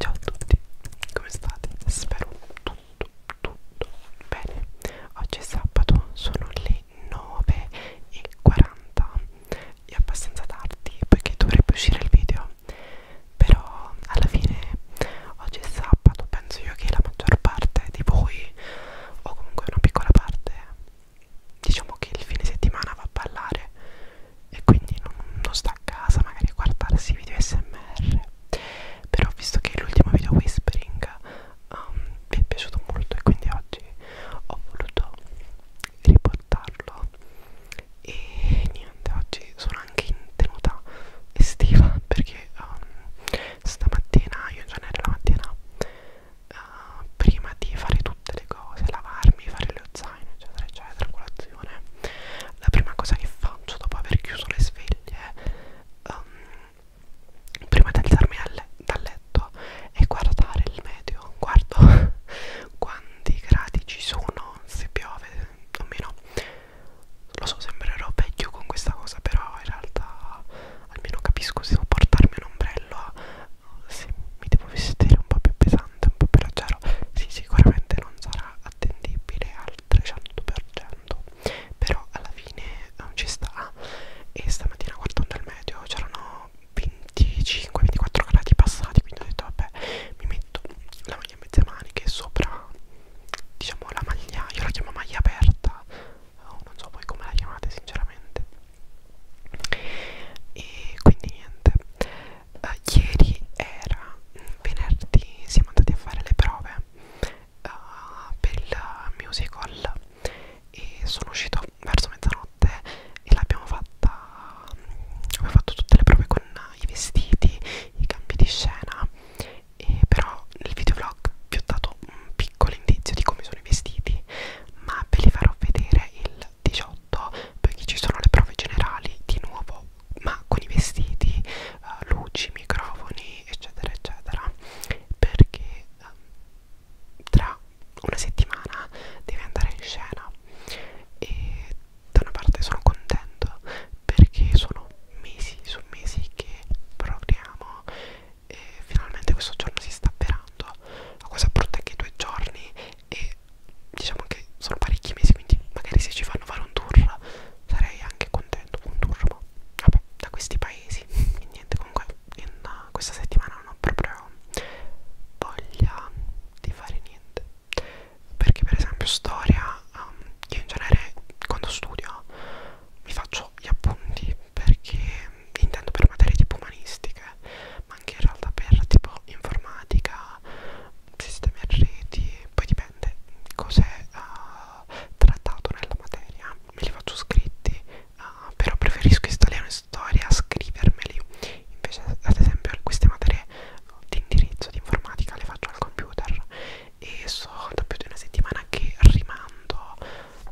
Ciao a tutti, come state? Spero tutto, tutto bene. Oggi è sabato, sono le 9.40, è abbastanza tardi perché dovrebbe uscire il video, però alla fine oggi è sabato, penso io che la maggior parte di voi, o comunque una piccola parte, diciamo che il fine settimana va a ballare e quindi non, non sta a casa magari a guardarsi video smr però visto che l'ultimo video whispering um, vi è piaciuto molto e quindi oggi ho voluto riportarlo e niente oggi sono anche in tenuta estiva perché um, stamattina io in genere la mattina uh, prima di fare tutte le cose lavarmi fare le ozzate zaino eccetera eccetera colazione la prima cosa che faccio dopo aver chiuso le sveglie um, prima di alzarmi le dal letto è guardare il meteo guardo quanti gradi ci sono se piove o meno lo so sembrerò vecchio con questa cosa però in realtà almeno capisco se devo portarmi un ombrello se mi devo vestire un po' più pesante pesante un po' più leggero sì sicuramente non sarà attendibile al 300% però alla fine non ehm, ci sta e stamattina guardando il medio c'erano 25-24 gradi passati quindi ho detto vabbè mi metto la maglia a mezze maniche sopra diciamo la maglia io la chiamo maglia aperta oh, non so voi come la chiamate sinceramente e quindi niente eh, ieri era venerdì, siamo andati a fare le prove eh, per il musical e sono uscito verso mezzanotte e l'abbiamo fatta, abbiamo fatto tutte le prove con i vestiti, i cambi di scena e però nel videovlog vi ho dato un piccolo indizio di come sono i vestiti ma ve li farò vedere il 18 perché ci sono le prove generali di nuovo ma con i vestiti, uh, luci, microfoni eccetera eccetera perché um, tra una settimana deve andare in scena e da una parte sono contento perché sono mesi su mesi che proviamo e finalmente questo giorno si sta avverando la cosa brutta è che i due giorni e diciamo che sono parecchi mesi quindi magari se ci fanno fare un tour sarei anche contento un tour ma vabbè da questi paesi e niente comunque in uh, questa settimana non ho proprio voglia di fare niente perché per esempio storia um, io in genere quando studio mi faccio gli appunti perché intendo per materie tipo umanistiche ma anche in realtà per tipo informatica sistemi a reti, poi dipende cos'è uh, trattato nella materia, me li faccio scritti, uh, però preferisco installare una storia a scrivermeli, invece ad esempio queste materie di indirizzo di informatica le faccio al computer e so da più di una settimana che rimando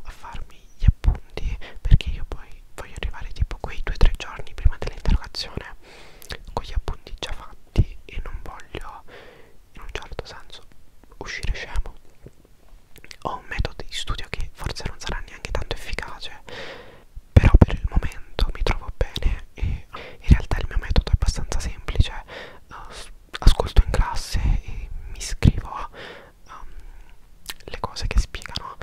a farmi gli appunti perché io poi voglio arrivare tipo quei 2-3 giorni prima dell'interrogazione con gli appunti già fatti e non voglio in un certo senso uscire scemo ho un metodo di studio che forse non sarà neanche tanto efficace però per il momento mi trovo bene e in realtà il mio metodo è abbastanza semplice eh, ascolto in classe e mi iscrivo a um, ehm, le cose che spiegano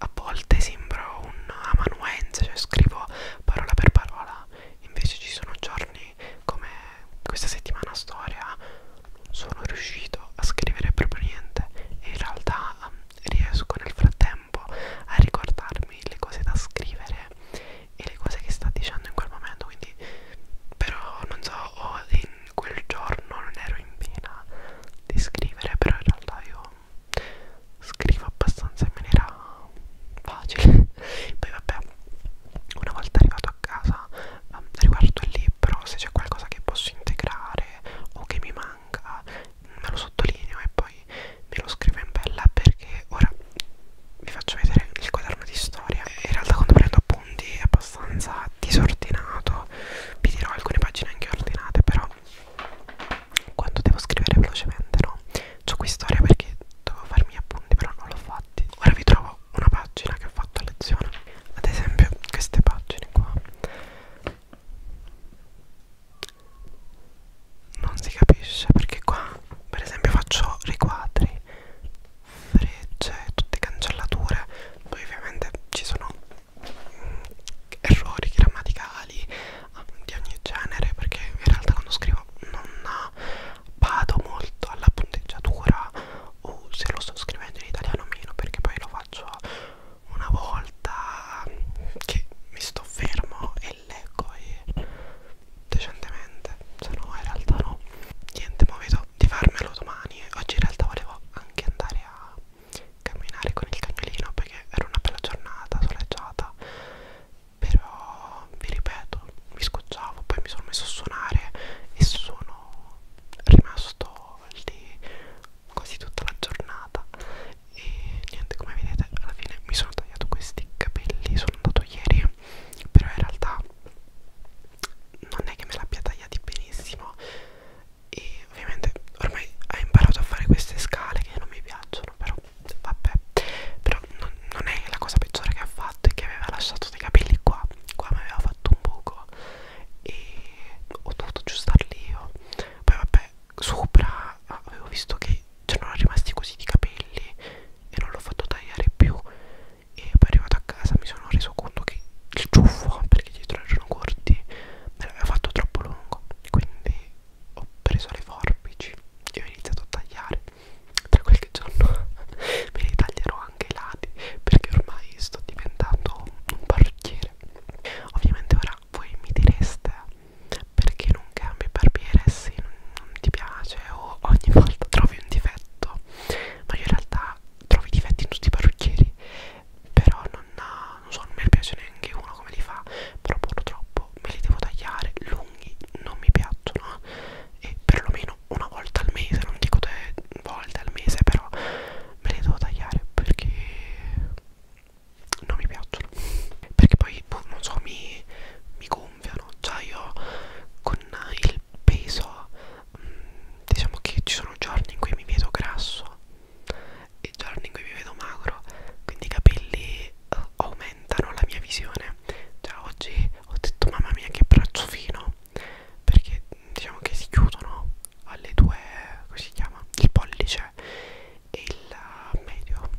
a volte sembro un amanuense, cioè scrivo parola per parola, invece ci sono giorni come questa settimana storia, non sono riuscito a scrivere proprio niente e in realtà ehm, riesco nel frattempo a ricordarmi le cose da scrivere e le cose che sta dicendo in quel momento, quindi però non so, o in quel giorno non ero in pena di scrivere, però in realtà io scrivo abbastanza in maniera facile poi vabbè una volta arrivato a casa um, riguardo il libro se c'è qualcosa che posso integrare o che mi manca me lo sottolineo e poi me lo scrivo in bella perché ora vi faccio vedere il quaderno di storia in realtà quando prendo appunti è abbastanza disordinato vi dirò alcune pagine anche ordinate però quando devo scrivere velocemente no c'ho qui storia perché dovevo farmi appunti però non l'ho fatti ora vi trovo una pagina che ho fatto a lezione ad esempio queste pagine qua non si capisce perché qua per esempio faccio riquadri frecce tutte cancellature poi ovviamente ci sono errori grammaticali di ogni genere perché in realtà quando scrivo non vado molto alla punteggiatura o se lo sto scrivendo in italiano meno perché poi lo faccio una volta che mi sto fermo e leggo e decentemente se no in realtà no niente ma vedo di farmelo domani oggi in realtà volevo anche andare a camminare con il cagnolino perché era una bella giornata soleggiata però vi ripeto mi scocciavo poi mi sono messo a suonare e sono rimasto lì quasi tutta la giornata e niente come vedete alla fine mi sono tagliato questi capelli sono andato ieri però in realtà non è che me l'abbia tagliati benissimo e ovviamente ormai ha imparato a fare queste scale che non mi piacciono però vabbè però non, non è la cosa peggiore che ha fatto è che aveva lasciato dei capelli qua qua mi aveva fatto un buco e ho dovuto aggiustarli io oh. poi vabbè sopra avevo visto che c'erano rimasti così di capelli e non l'ho fatto tagliare più e poi arrivato a casa mi sono reso conto che il ciuffo perché dietro erano corti me l'aveva fatto troppo lungo quindi ho preso le forbici e ho iniziato a tagliare tra qualche giorno me li taglierò anche i lati perché ormai sto diventando un parrucchiere ovviamente ora voi mi direste perché non cambi barbiere se non, non ti piace o ogni volta trovi un difetto ma io in realtà trovo i difetti in tutti i parrucchieri però non, ha, eh, non so non mi piace neanche uno come li fa però purtroppo me li devo tagliare lunghi non mi piacciono e perlomeno una volta al mese non dico due volte al mese però me li devo tagliare perché non mi piacciono perché poi boh, non so mi, mi gonfiano già cioè io con il peso mm, diciamo che ci sono giorni in cui mi vedo grasso i giorni in cui mi vedo magro quindi i capelli uh, aumentano la mia visione già cioè, oggi ho detto mamma mia che braccio fino perché diciamo che si chiudono alle due come si chiama il pollice e il medio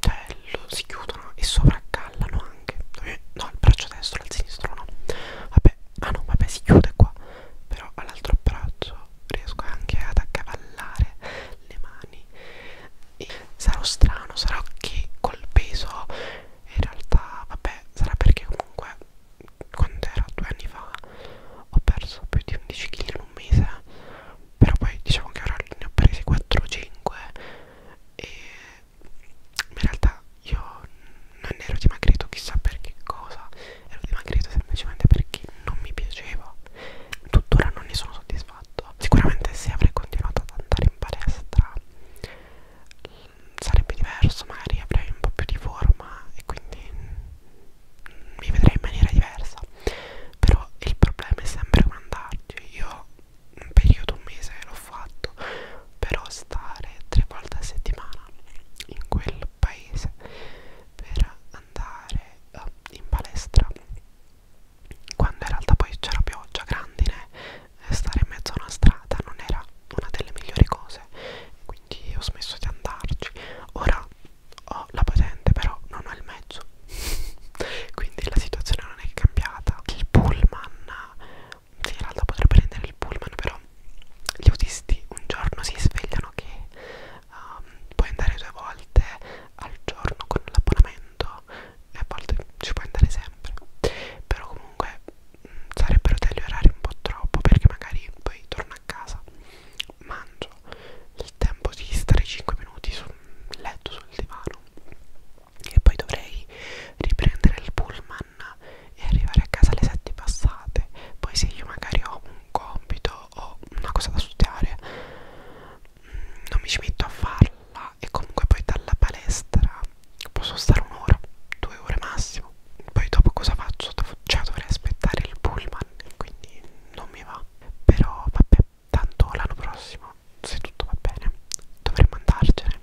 cioè lo, si chiudono e sovraccallano anche no il braccio destro al sinistro no vabbè ah no vabbè si chiude qua però all'altro braccio però riesco anche ad accavallare le mani e sarò strano, sarò che col peso in realtà vabbè sarà perché comunque quando ero due anni fa ho perso più di 11 kg in un mese però poi diciamo che ora ne ho presi 4 o 5 e in realtà io non ero dimagrito chissà per che cosa ero dimagrito semplicemente perché non mi piaceva tuttora non ne sono soddisfatto sicuramente se avrei continuato ad andare in palestra sarebbe diverso magari avrei un po' più di forma e quindi mi vedrei in maniera diversa però il problema è sempre con andarci io un periodo un mese l'ho fatto però stare tre volte a settimana in quel del paese per andare uh, in palestra quando in realtà poi c'era pioggia, grandine eh, stare in mezzo a una strada non era una delle migliori cose quindi ho smesso di andarci ora ho la patente però non ho il mezzo quindi la situazione non è cambiata il pullman sì in realtà potrei prendere il pullman però gli autisti un giorno si svegliano che um, puoi andare due volte al giorno con l'abbonamento e a volte ci puoi andare sempre però comunque mh, mm, sarebbero degli orari un po' troppo perché magari poi torno a casa mangio il tempo di stare 5 minuti sul letto sul divano e poi dovrei riprendere il pullman e arrivare a casa alle 7 passate poi se io magari ho un compito ho una cosa da studiare mm, non mi ci metto a farla e comunque poi dalla palestra posso stare un'ora, due ore massimo poi dopo cosa faccio? Cioè dovrei aspettare il pullman quindi non mi va però vabbè tanto l'anno prossimo se tutto va bene dovremmo andarcene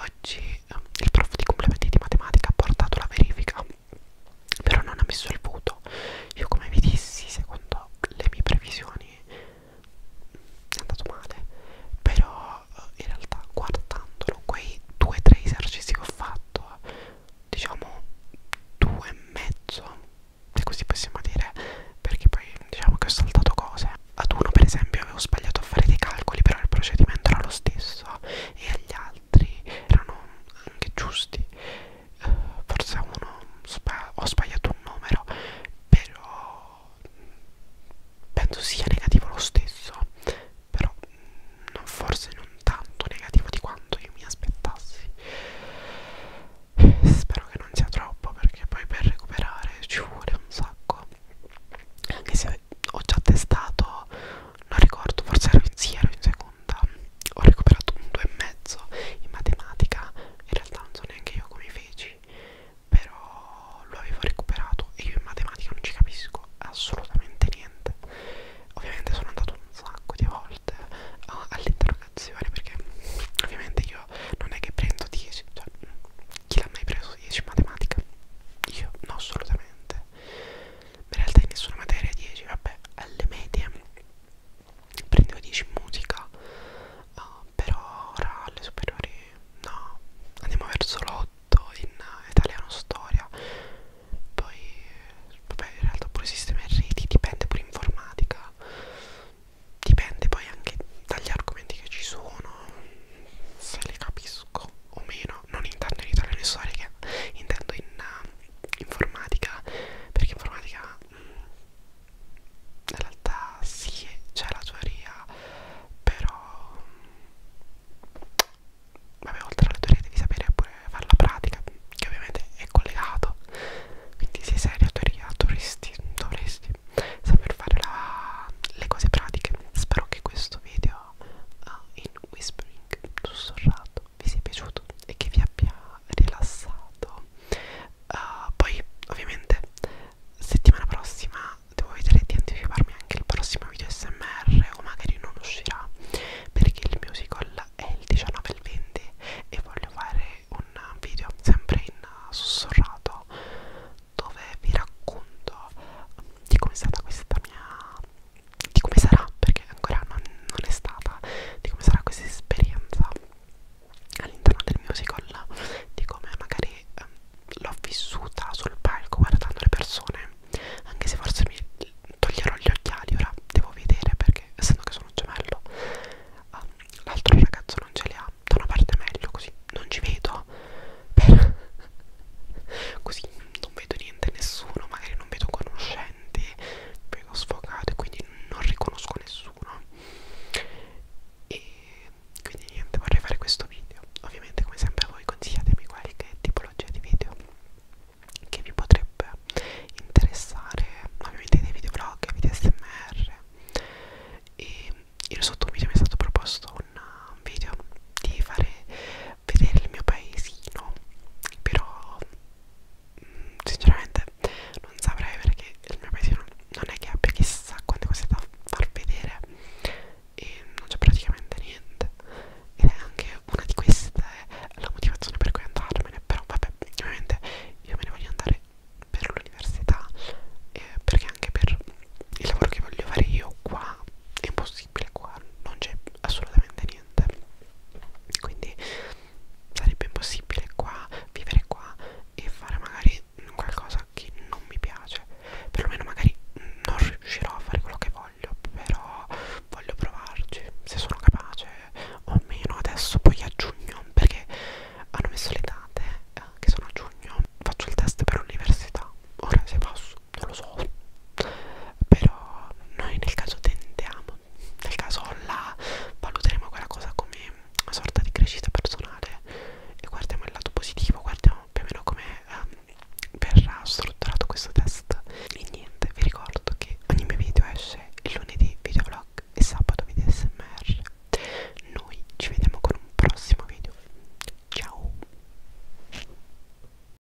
oggi eh, il prof di complementi di matematica ha portato la verifica però non ha messo il voto io come vi dissi secondo le mie previsioni è andato male però eh, in realtà guardandolo quei due o tre esercizi che ho fatto diciamo due e mezzo se così possiamo dire perché poi diciamo che ho saltato cose ad uno per esempio avevo sbagliato a fare dei calcoli però il procedimento era lo stesso e agli altri altri erano anche giusti eh, forse uno sba ho sbagliato un numero però penso sia negativo lo stesso però non, forse non tanto negativo di quanto io mi aspettassi spero che non sia troppo perché poi per recuperare ci vuole un sacco anche se ho già testato non ricordo, forse ero in, sì, ero in seconda, ho recuperato un 2,5 in matematica, in realtà non so neanche io come feci, però lo avevo recuperato e io in matematica non ci capisco assolutamente niente. Ovviamente sono andato un sacco di volte all'interrogazione perché ovviamente io non è che prendo 10, cioè chi l'ha mai preso 10 in matematica? Io no assolutamente in realtà in nessuna materia 10 vabbè alle medie prendevo 10 in musica uh, però ora alle superiori no andiamo verso l'8 in italiano storia poi vabbè in realtà pure sistema e reti dipende pure informatica dipende poi anche dagli argomenti che ci sono se li capisco o meno, non intendo in italiano e storica, intendo in uh, informatica, perché informatica mh, mm, in realtà sì, c'è la teoria, però mh, mm, vabbè oltre alla teoria devi sapere pure fare la pratica, che ovviamente è collegato, quindi sei serio teoria, dovresti, dovresti saper fare la, le cose pratiche. Spero che questo video uh, in whispering link sussurrato vi sia piaciuto e che vi abbia rilassato uh, poi ovviamente settimana prossima devo vedere di anticiparmi anche il prossimo video smr o magari non uscirà perché il musical è il 19 e il 20 e voglio fare un video sempre in sussurrato dove vi racconto di come è stata questa mia di come sarà perché ancora non, non è stata di come sarà questa esperienza all'interno del musical di come magari ehm, l'ho vissuta sul palco guardando le persone anche se forse mi toglierò gli occhiali ora devo vedere perché essendo che sono un gemello ehm, l'altro ragazzo non ce li ha da una parte è meglio così non ci vedo per così non vedo niente nessuno magari non vedo conoscenti vedo sfogato e quindi non riconosco nessuno e quindi niente vorrei fare questo video ovviamente come sempre voi consigliatemi qualche tipologia di video che vi potrebbe interessare ovviamente dei videoblog, video smr e io sotto un video mi è stato proposto un video di fare vedere il mio paesino però mm, sinceramente non saprei perché il mio paesino non è che abbia chissà quante cose da far vedere e non c'è praticamente niente ed è anche una di queste la motivazione per cui andarmene però vabbè ovviamente io me ne voglio andare per l'università eh, perché anche per il lavoro che voglio fare io qua è un posto possibile qua non c'è assolutamente niente quindi sarebbe impossibile qua vivere qua e fare magari qualcosa che non mi piace perlomeno magari non riuscirò a fare quello che voglio però voglio provarci se sono capace o meno adesso poi a giugno perché hanno messo le date eh, che sono a giugno faccio il test per l'università ora se posso non lo so però noi nel caso tendiamo nel caso la valuteremo quella cosa come una sorta di crescita personale e guardiamo il lato positivo guardiamo più o meno come um, verrà strutturato questo test e niente vi ricordo che ogni mio video esce il lunedì videovlog e sabato video smr noi ci vediamo con un prossimo video ciao